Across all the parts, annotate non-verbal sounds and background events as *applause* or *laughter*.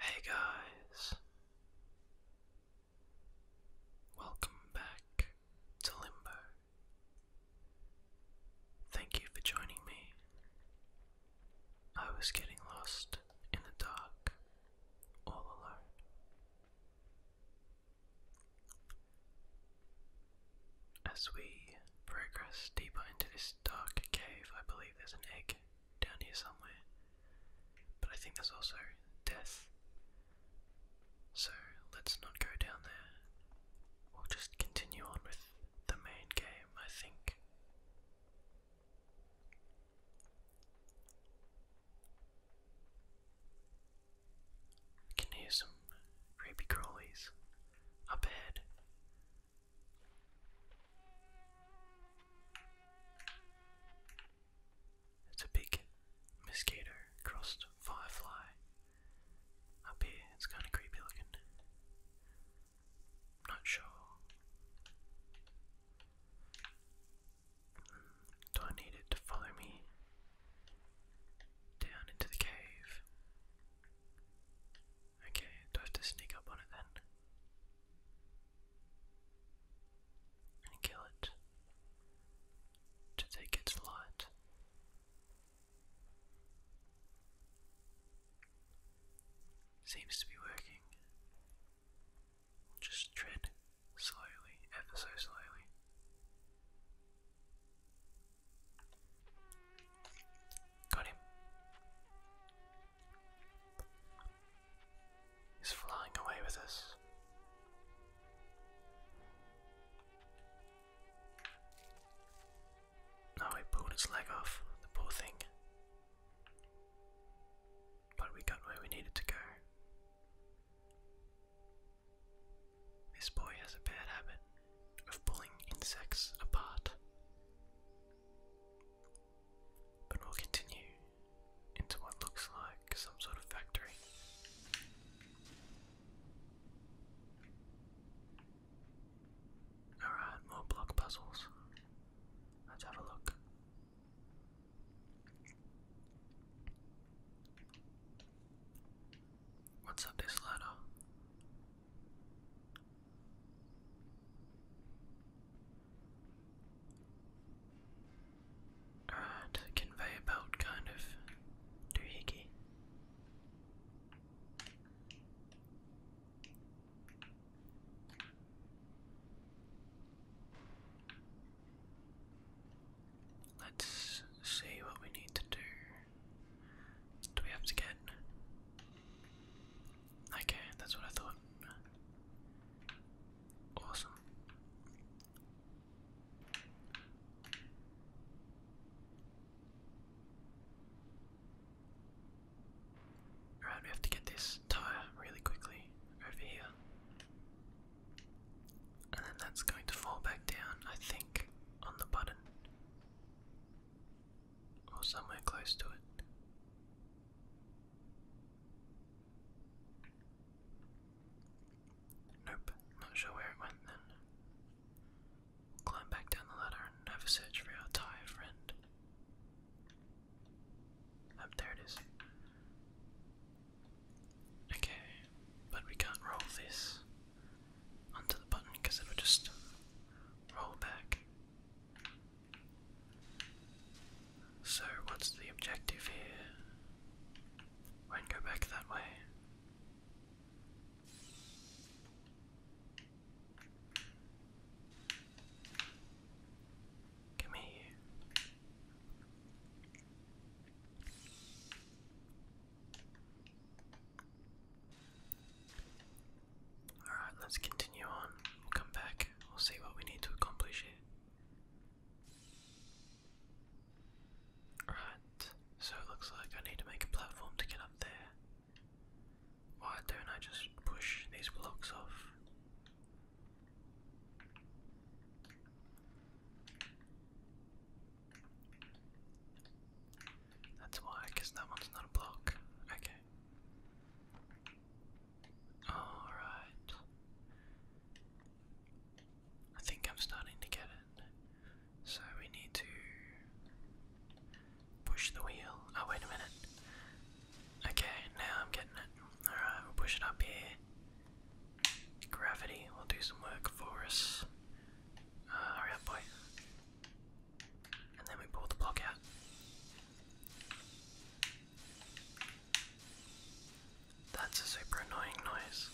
Hey guys, welcome back to Limbo. Thank you for joining me. I was getting lost in the dark, all alone. As we progress deeper into this dark cave, I believe there's an egg down here somewhere, but I think there's also death. So let's not go down there. We'll just continue on with the main game. I think. I can hear some creepy crawlies up ahead. It's a big mosquito crossed firefly. Up here, it's kind of creepy looking. Not sure. Do I need it to follow me down into the cave? Okay, do I have to sneak up on it then? And kill it to take its light. Seems to be working. Just tread slowly, ever so slowly. Got him. He's flying away with us. Now I pulled its leg off, the poor thing. But we got where we needed to go. This boy has a bad habit of pulling insects apart. But we'll continue into what looks like some sort of factory. Alright, more block puzzles. Let's have a look. What's up this Alright, conveyor belt kind of doohickey. Let's see what we need to do. Do we have to get. Okay, that's what I thought. Awesome. Alright, we have to get this tire really quickly over here. And then that's going to fall back down, I think, on the button. Or somewhere close to it. Nope, not sure where it went then. Climb back down the ladder and have a search for our Thai friend. oh, there it is. Okay, but we can't roll this onto the button because it'll just roll back. So, what's the objective here? Won't go back that way. Come here. Alright, let's continue on. We'll come back. We'll see what we need to accomplish here. Alright, so it looks like I need to make a platform to get up there. Why don't I just push these blocks off? That's why, because that one's not a block. Okay. Alright. I think I'm starting to get it. So we need to push the wheel. Oh, wait a minute. Okay, now I'm getting it. Alright, we push it up here. Gravity will do some work for us. Uh, hurry up, boy. And then we pull the block out. That's a super annoying noise.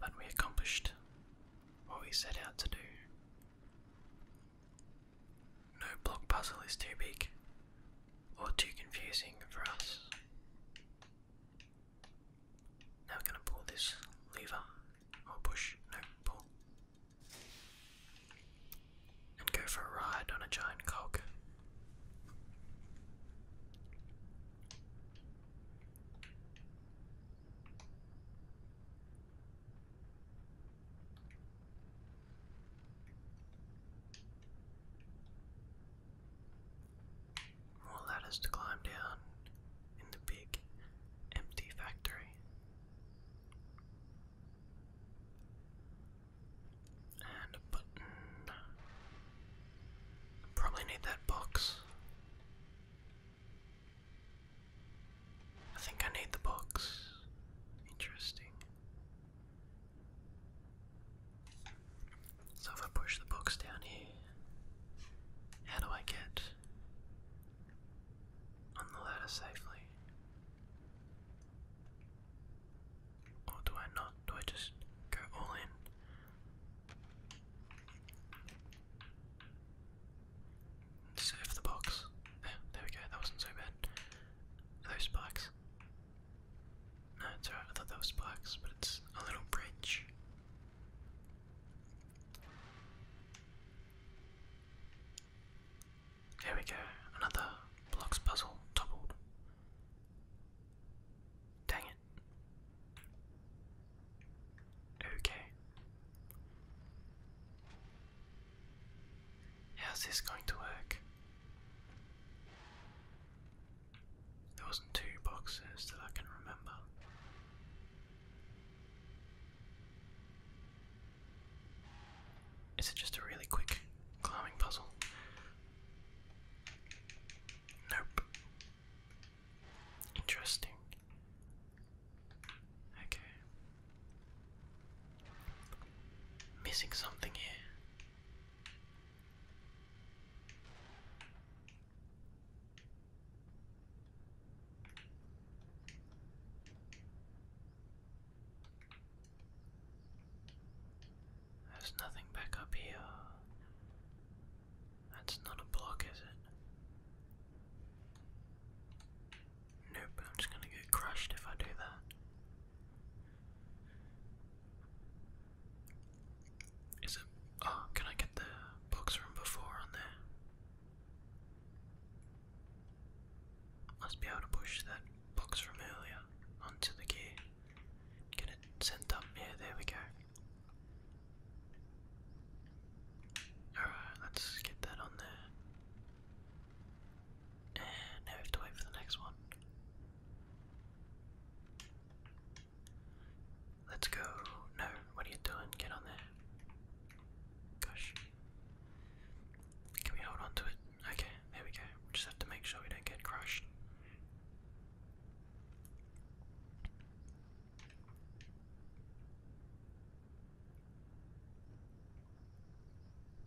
But we accomplished what we set out to do. No block puzzle is too big or too confusing for us. Now we're going to pull this lever or push, no, pull, and go for a ride on a giant cog. Will let to climb down in the big empty factory. Probably need that box. I think I need the box. Interesting. So if I push the box down here, how do I get on the ladder safely? Or do I not? Do I just go all in? And the box. There, eh, there we go, that wasn't so bad. those spikes? No, it's alright, I thought that was spikes, but it's a little bridge. There we go, another blocks puzzle toppled. Dang it. Okay. How's this going to work? There wasn't two boxes that I can remember. Is it just a really quick climbing puzzle? Nope. Interesting. Okay. Missing something here. There's nothing back up here. That's not a block, is it? Nope, I'm just gonna get crushed if I do that. Is it. Oh, can I get the box from before on there? Must be able to push that box from earlier onto the gear. Get it sent up. here. there we go. Alright, let's get that on there. And now we have to wait for the next one. Let's go. No, what are you doing? Get on there. Gosh. Can we hold on it? Okay there we go. We just have to make sure we don't get crushed.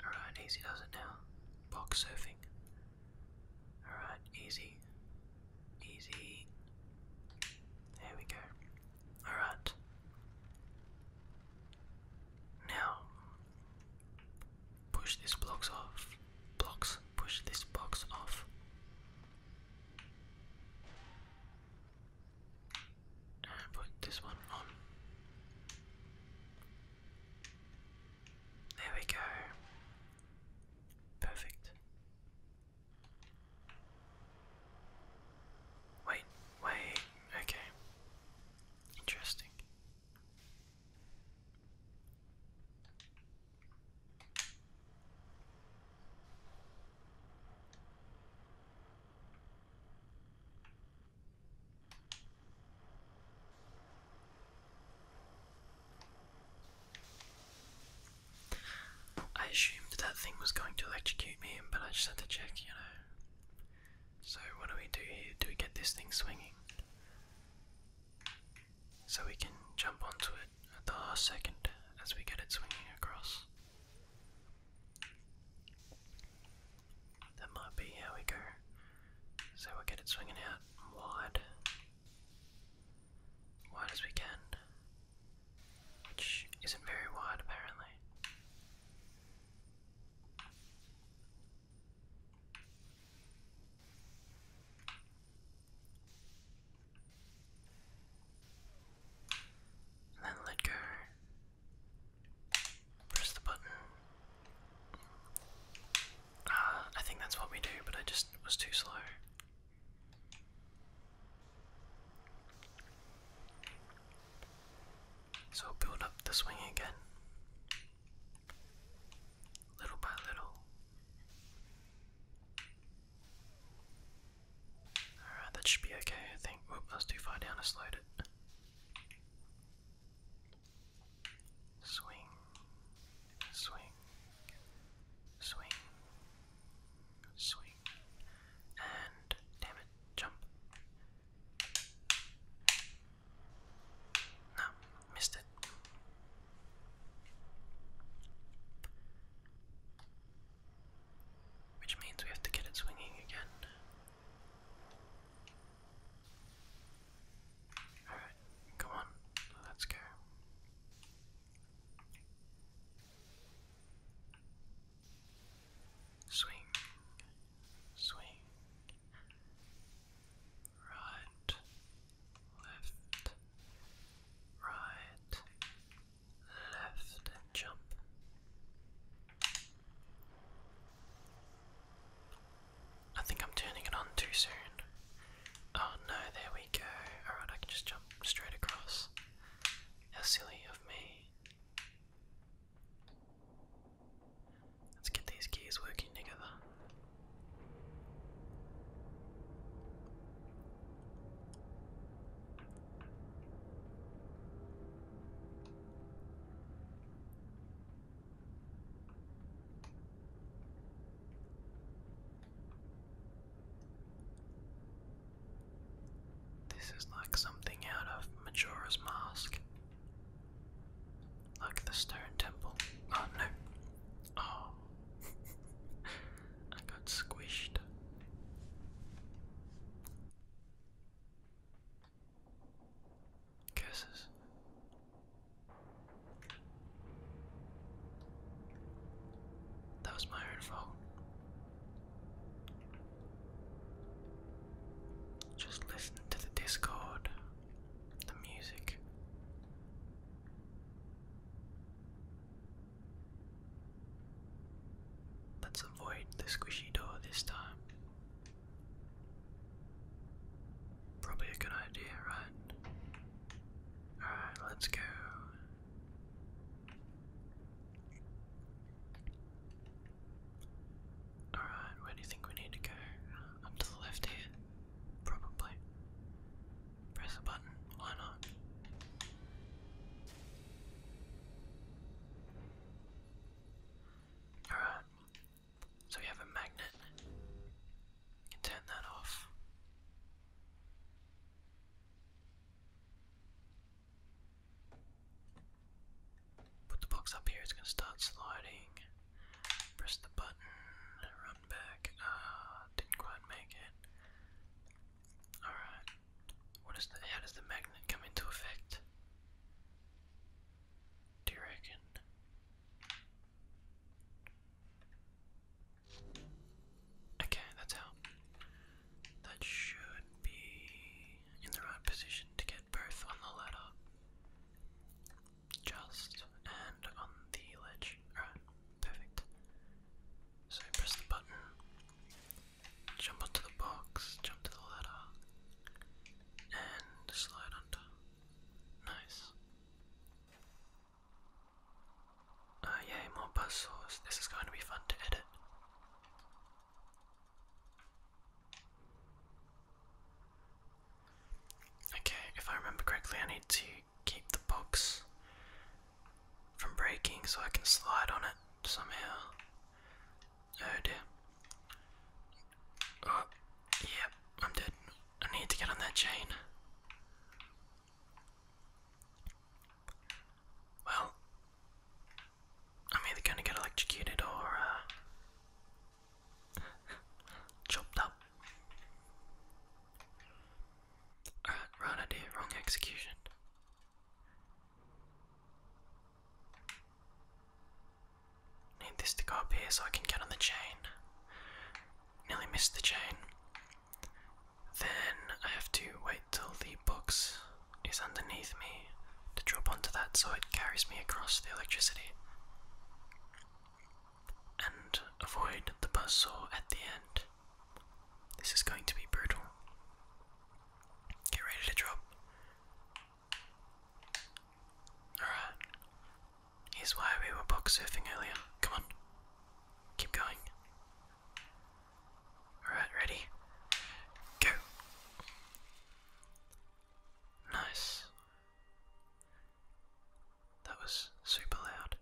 Alright, easy does it now. Box surfing. Alright, easy. Easy. There we go. Alright. Now, Push this box off. Blocks. Push this box off. And put this one on. There we go. Perfect. Wait, wait, okay. Interesting. I assumed that thing was going to electrocute me, but I just had to check, you know. So, what do we do here? Do we get this thing swinging? so we can jump onto it at the last second as we get it swinging across. That might be how we go. So we get it swinging out wide, wide as we can, which isn't very wide apparently then let go. Press the button. Uh, I think that's what we do, but I just was too slow. So build up the swing again little by little. Alright, that should be okay, I think. Whoop, that's too far down, I slowed it. Swing, swing, swing, swing, and damn it, jump. No, missed it. Which means we have to get it swinging again. Alright, come on, let's go. Swing, swing, right, left, right, left, jump. I think I'm turning it on too soon. Oh no, there we go. Alright, I can just jump straight across. How silly of me. Let's get these gears working together. This is like something out of Majora's Mask. Like the stone temple. Oh no. Oh. *laughs* I got squished. Curses. That was my own fault. Just listen to the Discord the music. Let's avoid the squishy door this time. Probably a good idea, right? Alright, let's go. Alright, where do you think we need to go? Up to the left here? Probably. Press the button, why not? Alright, so we have a magnet. You can turn that off. Put the box up here, it's gonna start sliding. Press the button, run back. Ah, didn't quite make it. Alright. What is the how does the magnet come into effect? Do you reckon? Okay, that's out. That should be in the right position to get both on the ladder. Just and on the ledge. Alright, perfect. So press the button, jump onto the box, jump to the ladder, and slide under. Nice. Oh yay, more buzz This is going to be fun to edit. Okay, if I remember correctly, I need to keep the box from breaking so I can slide on it somehow. Oh dear. Oh, yeah, I'm dead. I need to get on that chain. Well, I'm either going to get electrocuted or uh, *laughs* Chopped up. Alright, right idea, wrong execution. Need this to go up here so I can get on the chain. Nearly missed the chain. Then I have to wait till the box is underneath me to drop onto that so it carries me across the electricity and avoid the buzzsaw at the end. This is going to be brutal. Get ready to drop. Alright. Here's why we were box surfing earlier. Come on. Keep going. Alright, ready? Go! Nice. That was super loud.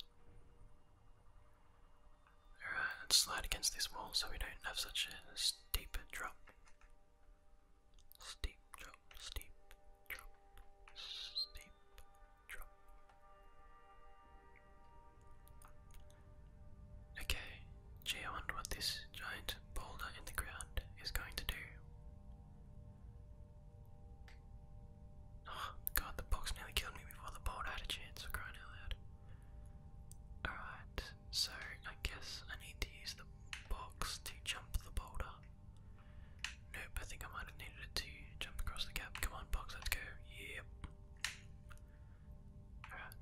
Alright, let's slide against this wall so we don't have such a steep drop. Steep drop, steep drop, steep drop. Okay, gee, wonder what this giant boulder in the ground is going to do. Oh, God, the box nearly killed me before the bolt had a chance for crying out loud. Alright, so I guess I need to use the box to jump the boulder. Nope, I think I might have needed it to jump across the gap. Come on, box, let's go. Yep. Alright.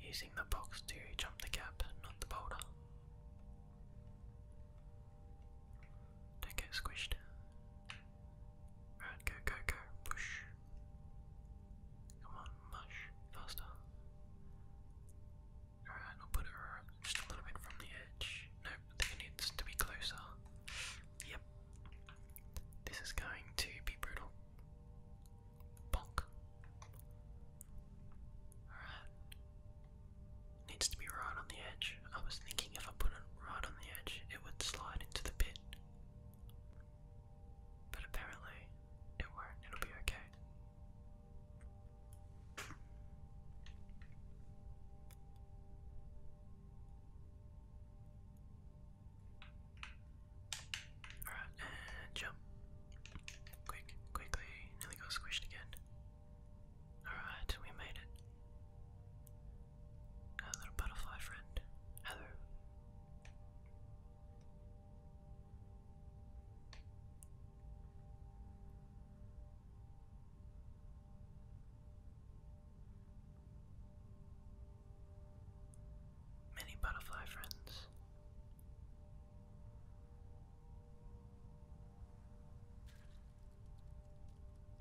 Using the box to jump the gap, not the boulder. Don't get squished. Alright, go, go, go. Push. Come on, mush. Faster. Alright, I'll put it just a little bit from the edge. Nope, it needs to be closer. Yep. This is going to be brutal. Bonk. Alright. Needs to be right on the edge. I was thinking if I put it right on the edge, it would slide into the pit. But apparently, it won't. It'll be okay. Alright, and jump. Quick, quickly. Nearly got squished again. Alright, we made it. Our little butterfly friend. Hello many butterfly friends.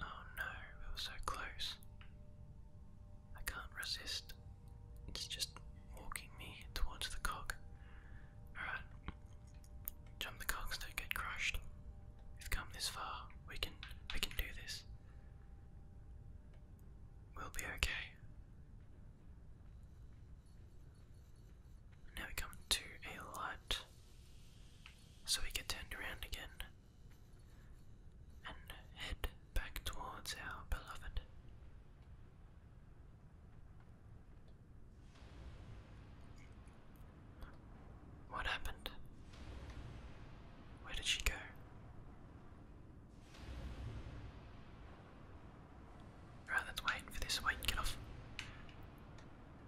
Oh no, we were so close. I can't resist. It's just walking me towards the cog. Alright. Jump the cogs, don't get crushed. We've come this far. We can we can do this. We'll be okay. Now we come to a light, so we get turned around again and head back towards our beloved. What happened? Where did she go? Right, let's wait for this. Wait, get off.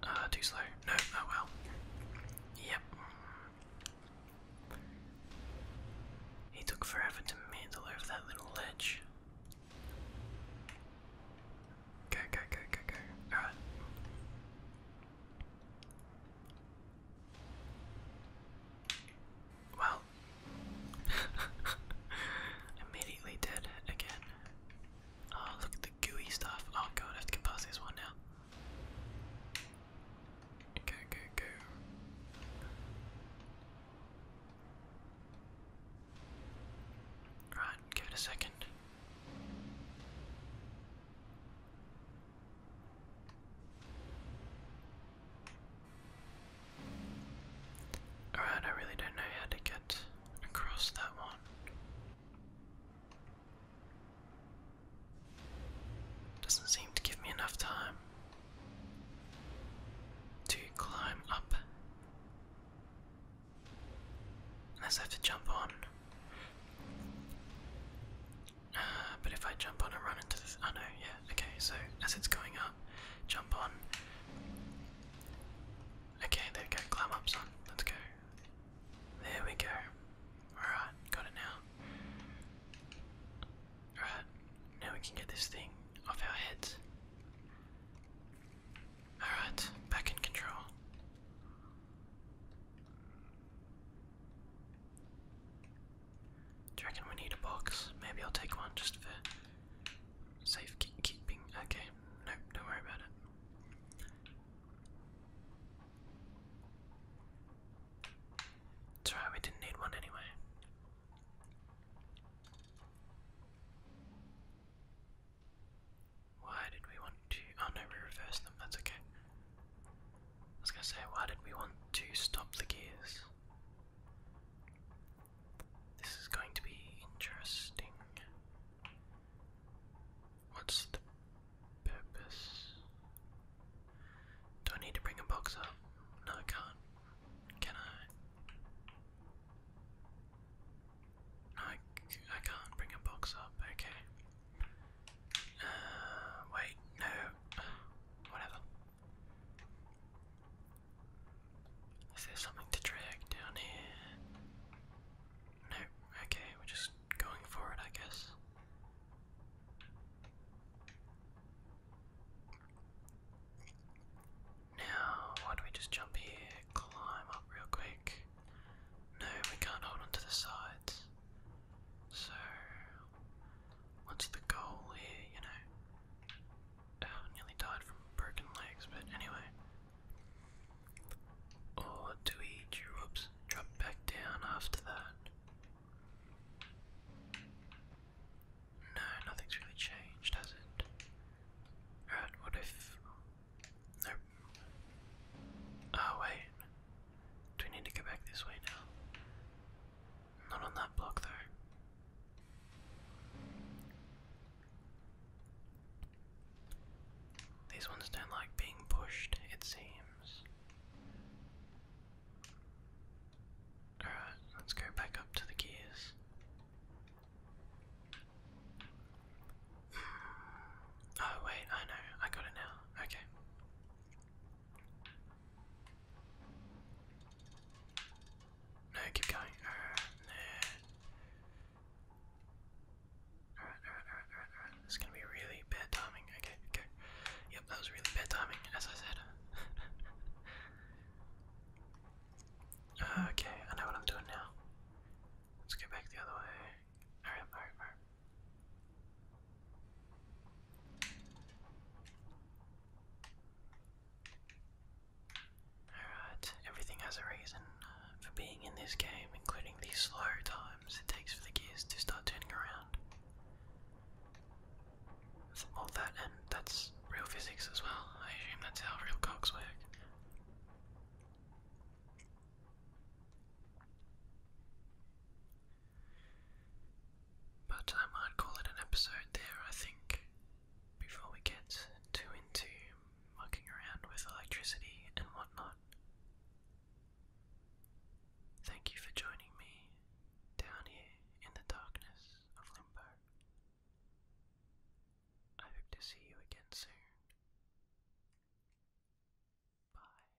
Uh, too slow. No, oh well. Yep. He took forever to mandle over that little ledge. Go, go, go, go, go. Alright. Well, *laughs* immediately dead again. Oh, look at the gooey stuff. Oh god, I have to get past this one now. Go, go, go. Right, give it a second. Alright, I really don't know how to get across that one. Doesn't seem to give me enough time to climb up. Unless I have to jump on. Uh, but if I jump on and run into the. I oh know, yeah, Okay, so as it's going up, jump on. Okay, there we go. Climb up, son. Let's go. There we go. Alright, got it now. Alright, now we can get this thing off our heads. Alright, back in control. Do you reckon we need a box? Maybe I'll take one just for safe keeping. Okay, nope, don't worry about it. It's alright, we didn't need one anyway. Why did we want to? Oh no, we reversed them, that's okay. I was gonna say, why did we want to stop the gears? This is going to be interesting. What's the purpose? Do I need to bring a box up? No, I can't. Can I? I, I can't bring a box up. Okay. Uh, wait, no. *sighs* Whatever. Is there something to drag down here? No, okay, we're just going for it, I guess. Now, why don't we just jump here, climb up real quick? No, we can't hold on the sides. So, what's the goal here, you know? Oh, nearly died from broken legs, but anyway. Or oh, do we drop back down after that? No, nothing's really changed, has it? Alright, what if... Nope. Oh, wait. Do we need to go back this way now? Not on that block, though. These ones don't like being pushed, it seems. Alright, let's go back up to the gears. *sighs* Oh, wait, I know, I got it now. Okay. No, keep going. Alright, alright, alright, alright, alright. This is gonna be really bad timing. Okay, okay. Yep, that was really bad timing, as I said. *laughs* okay, I know what I'm doing now. Let's go back the other way. Alright, alright, alright. Alright, everything has a reason uh, for being in this game, including the slow times it takes for the gears to start turning around. Well, that and that's real physics as well. I assume that's how real cocks work. But I might call it an episode there, I think, before we get too into mucking around with electricity and whatnot. Thank you for joining me down here in the darkness of Limbo. I hope to see you again soon. Bye.